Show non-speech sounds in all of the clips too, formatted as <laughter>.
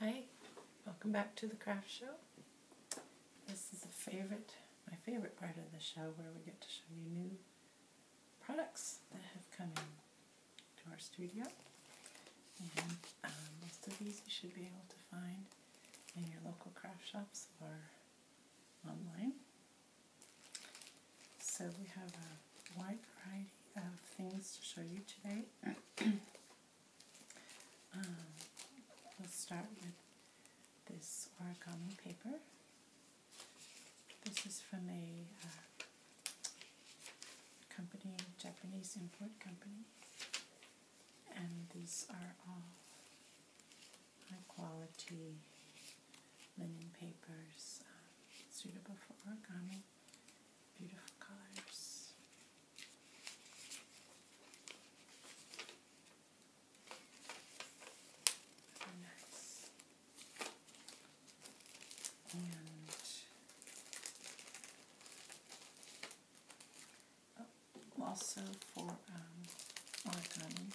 Hi, welcome back to the craft show. This is my favorite part of the show where we get to show you new products that have come in to our studio. And um, most of these you should be able to find in your local craft shops or online. So we have a wide variety of things to show you today um, we'll start with this origami paper. This is from a uh, company, Japanese import company, and these are all high quality linen papers uh, suitable for origami Beautiful colors. nice. And oh, also for um, origami,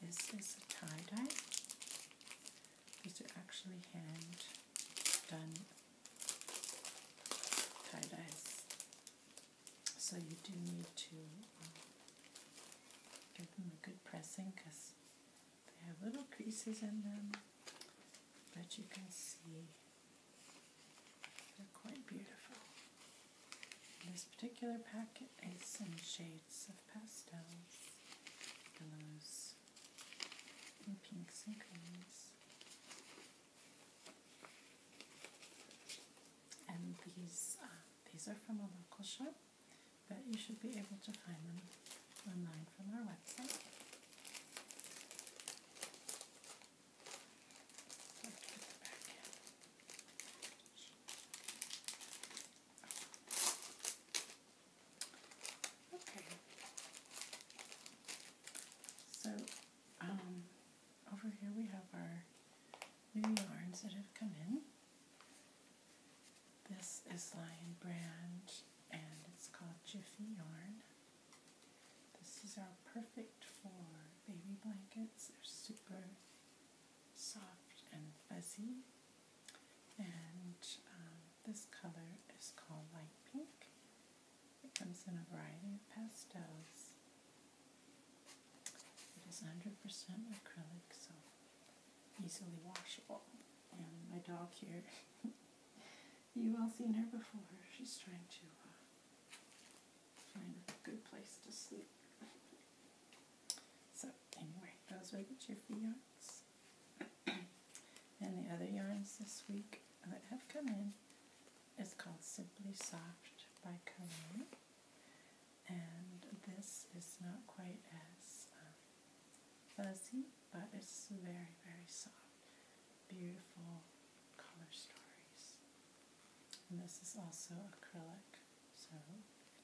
this is a tie dye. These are actually hand done tie dyes. So you do need to um, give them a good pressing because they have little creases in them. But you can see they're quite beautiful. This particular packet is in shades of pastels, yellows, pinks and greens. And these these are from a local shop, but you should be able to find them online from our website. Oh. Okay. So, um, over here we have our new yarns that have come in. This is Lion Brand and it's called Jiffy Yarn. This is our perfect for baby blankets. They're super soft and fuzzy and um, this color is called light pink. It comes in a variety of pastels. It is 100% acrylic, so easily washable. And my dog here, <laughs> you've all seen her before. She's trying to uh, find a good place to sleep. <laughs> so anyway, those are the Jiffy Yards. <clears throat> and the other yarns this week that have come in is called Simply Soft by Conan. And this is not quite as um, fuzzy, but it's very, very soft. Beautiful color stories. And this is also acrylic, so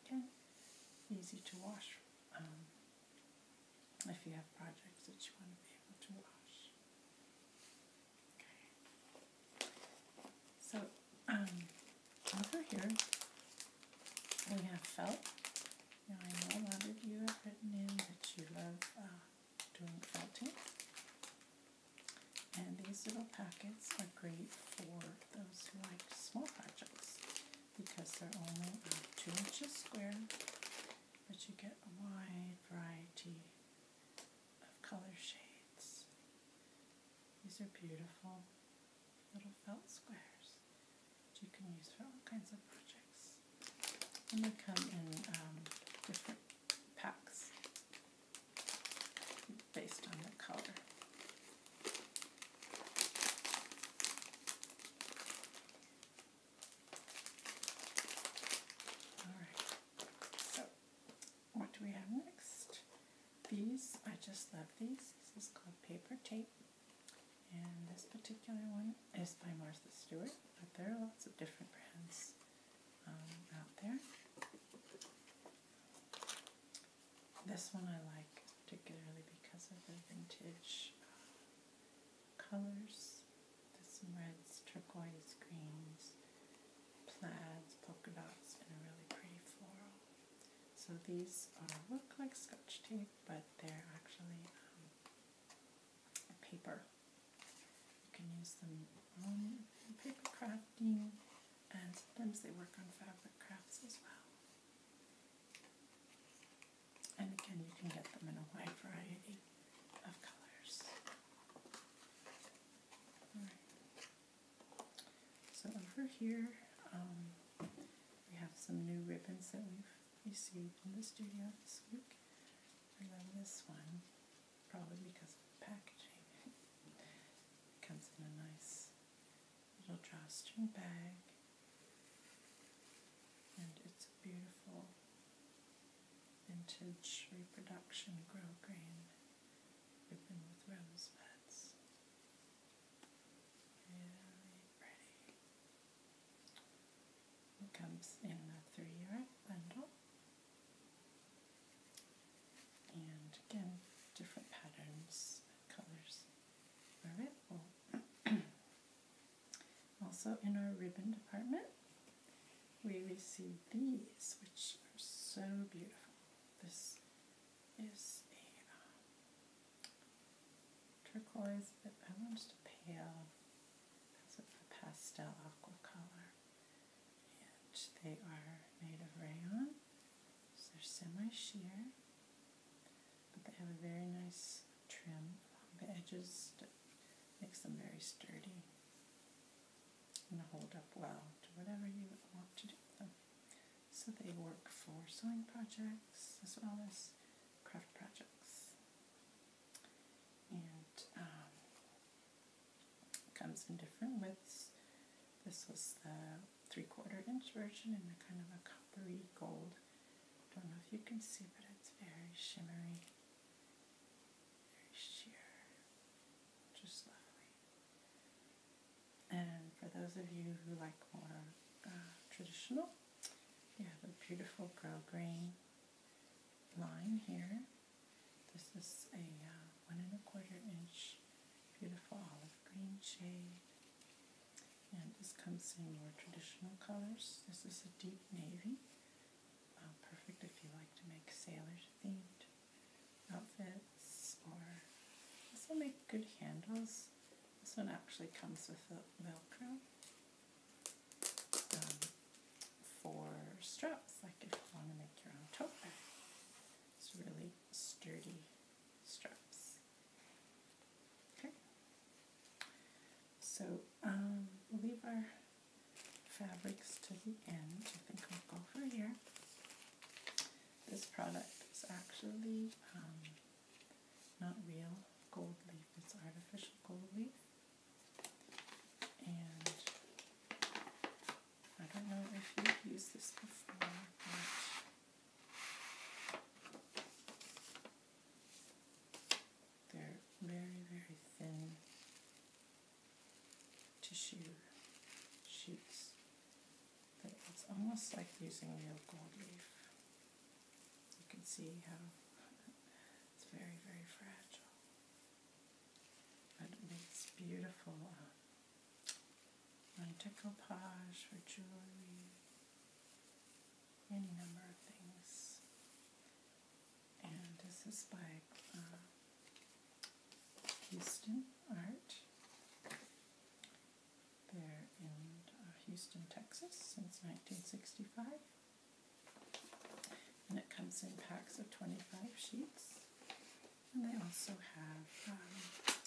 again, easy to wash. Um, if you have projects that you want to be able to wash. Okay. So, um, over here we have felt. I know a lot of you have written in that you love uh, doing felting. And these little packets are great for those who like small projects because they're only two inches square, but you get a wide variety of color shades. These are beautiful little felt squares that you can use for all kinds of projects. And they come in um, different packs based on the color. Alright, so what do we have next? These, I just love these. This is called Paper Tape. And this particular one is by Martha Stewart, but there are lots of different brands um, out there. This one I like particularly because of the vintage uh, colors. There's some reds, turquoise, greens, plaids, polka dots, and a really pretty floral. So these are, uh, look like scotch tape, but they're actually um, paper. You can use them on paper crafting, and sometimes they work on fabric crafts as well. And again, you can get them in a wide variety of colors. So over here, um, we have some new ribbons that we've received in the studio this week. I love this one, probably because of the packaging. it comes in a nice little drawstring bag, and it's a beautiful vintage reproduction grow green ribbon with rosebuds. Really pretty. It comes in a three yard bundle. And again, different patterns and colors are available. <clears throat> also in our ribbon department, we receive these, which are so beautiful. This is a um, turquoise, but I want just a pale, that's a pastel aqua color. And they are made of rayon, so they're semi-sheer they have a very nice trim along the edges that makes them very sturdy and hold up well to whatever you want to do with them. So they work for sewing projects as well as craft projects. And um, comes in different widths. This was the three quarter inch version in a kind of a coppery gold. Don't know if you can see, but it's very shimmery, very sheer, just lovely. And for those of you who like more uh, traditional, you have a beautiful girl green line here. This is a uh, one and a quarter inch beautiful olive green shade. And this comes in more traditional colors. This is a deep navy. Uh, perfect if you like to make sailors themed outfits or this will make good handles. This one actually comes with a velcro um, for straps like if you want to make your own tote bag. It's really sturdy straps. Okay. So um, we'll leave our fabrics to the end. I think I'll go over here. This product is actually um, not real gold leaf, it's artificial gold leaf. And I don't know if you've used this before, they're very, very thin tissue sheets. But it's almost like using real gold leaf. You can see how it's very, very fragile. But it makes beautiful uh, découpage for jewelry, any number of things. And this is by uh, Houston Art. They're in uh, Houston, Texas since 1965. And it comes in packs of 25 sheets. And they also have um,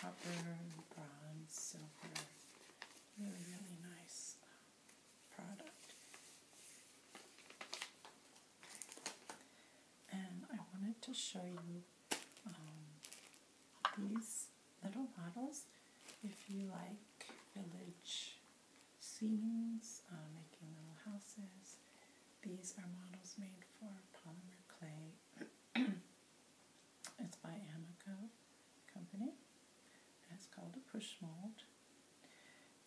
copper, bronze, silver. Really, really nice um, product. And I wanted to show you um, these little models if you like village scenes, uh, making little houses. These are models made for polymer clay. <clears throat> It's by Amaco Company. it's called a push mold.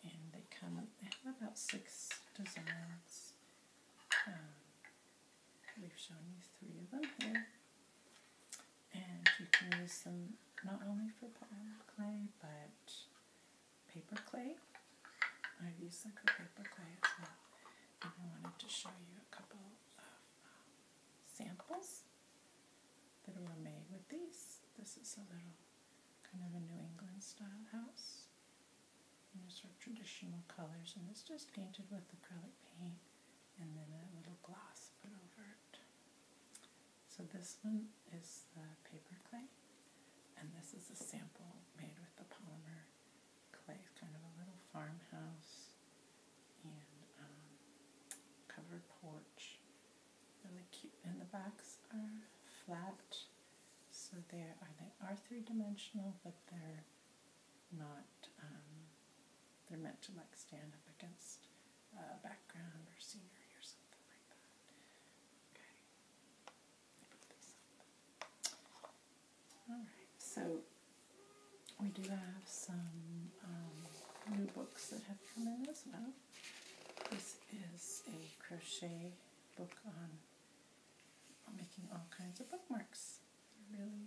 And they come, they have about six designs. Um, we've shown you three of them here. And you can use them not only for palm clay, but paper clay. I've used them for paper clay as well. And I wanted to show you a couple of um, samples that are made with these. This is a little kind of a New England style house. You know, sort of traditional colors, and it's just painted with acrylic paint and then a little gloss put over it. So this one is the paper clay, and this is a sample made with the polymer clay, kind of a little farmhouse, and um, covered porch. Really cute. And the backs are flat, so they are they are three dimensional, but they're not. Um, they're meant to like stand up against a background or scenery or something like that. Okay. I put this up. Alright, so we do have some um, new books that have come in as well. This is a crochet book on, on making all kinds of bookmarks. Really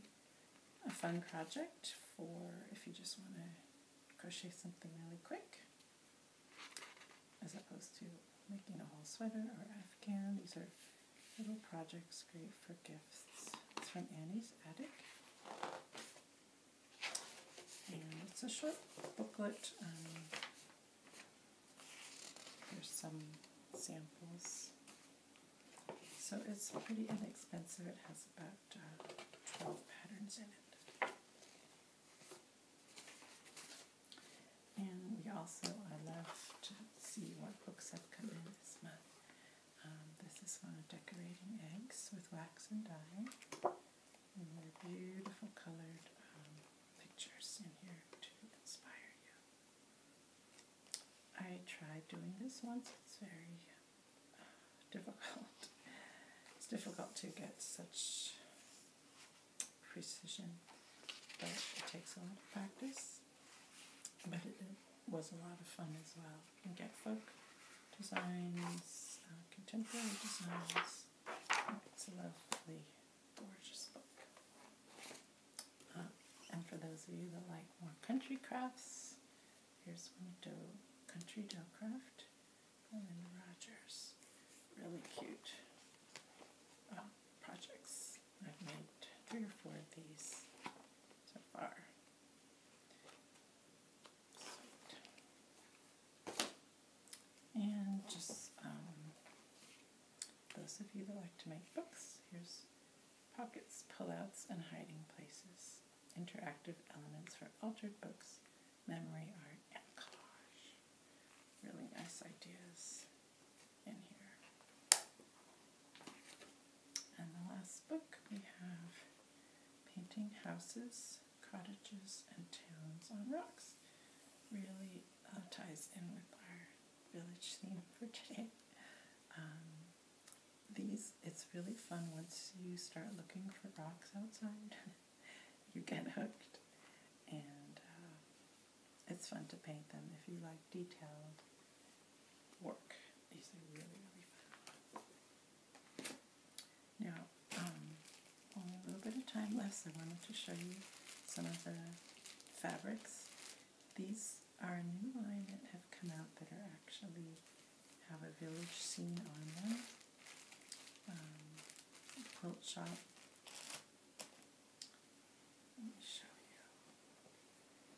a fun project for if you just want to crochet something really quick as opposed to making a whole sweater or afghan. These are Little projects great for gifts. It's from Annie's Attic. And it's a short booklet. Um, there's some samples. So it's pretty inexpensive. It has about uh, 12 patterns in it. And we also, I love to see what books have come in this month. Um, this is for decorating eggs with wax and dye. And there are beautiful colored um, pictures in here to inspire you. I tried doing this once. It's very uh, <laughs> difficult. it's difficult to get such precision, but it takes a lot of practice. But it, was a lot of fun as well. You get folk designs, uh, contemporary designs. It's a lovely, gorgeous book. Uh, and for those of you that like more country crafts, here's one to Country Dough Craft and Rogers. Really cute uh, projects. I've made three or four of these so far. And just um, those of you that like to make books, here's pockets, pullouts, and hiding places. Interactive elements for altered books, memory art, collage. Really nice ideas. And the last book we have Painting Houses, Cottages, and Towns on Rocks. Really uh, ties in with our village theme for today. Um, these, it's really fun once you start looking for rocks outside. <laughs> you get hooked. And uh, it's fun to paint them if you like detailed work. These are really, really fun. Now, um, only a little bit of time left, I wanted to show you some of the fabrics. These are a new line that have come out that are actually have a village scene on them. Um, quilt shop you.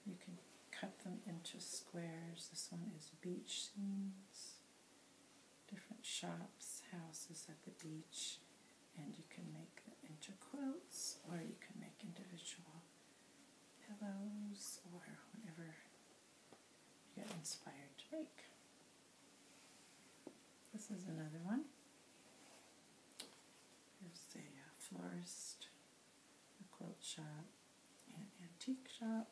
You can cut them into squares. This one is beach scenes, different shops, houses at the beach, and you can make them into quilts or you can make individual pillows or whatever you get inspired to make. This is another one. There's a uh, florist, a quilt shop, an antique shop.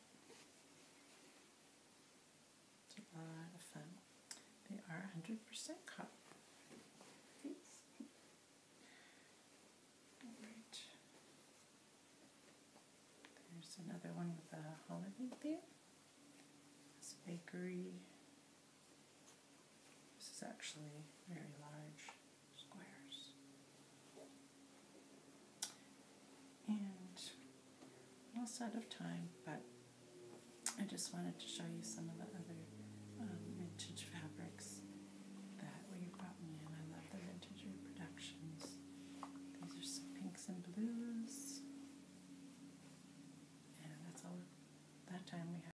It's a lot of fun. They are 100% cotton. Alright. There's another one with a holiday theme. This bakery. This is actually very large squares. And I'm almost out of time, but I just wanted to show you some of the other um, vintage fabrics that we've gotten in. I love the vintage reproductions. These are some pinks and blues. And that's all that time we had.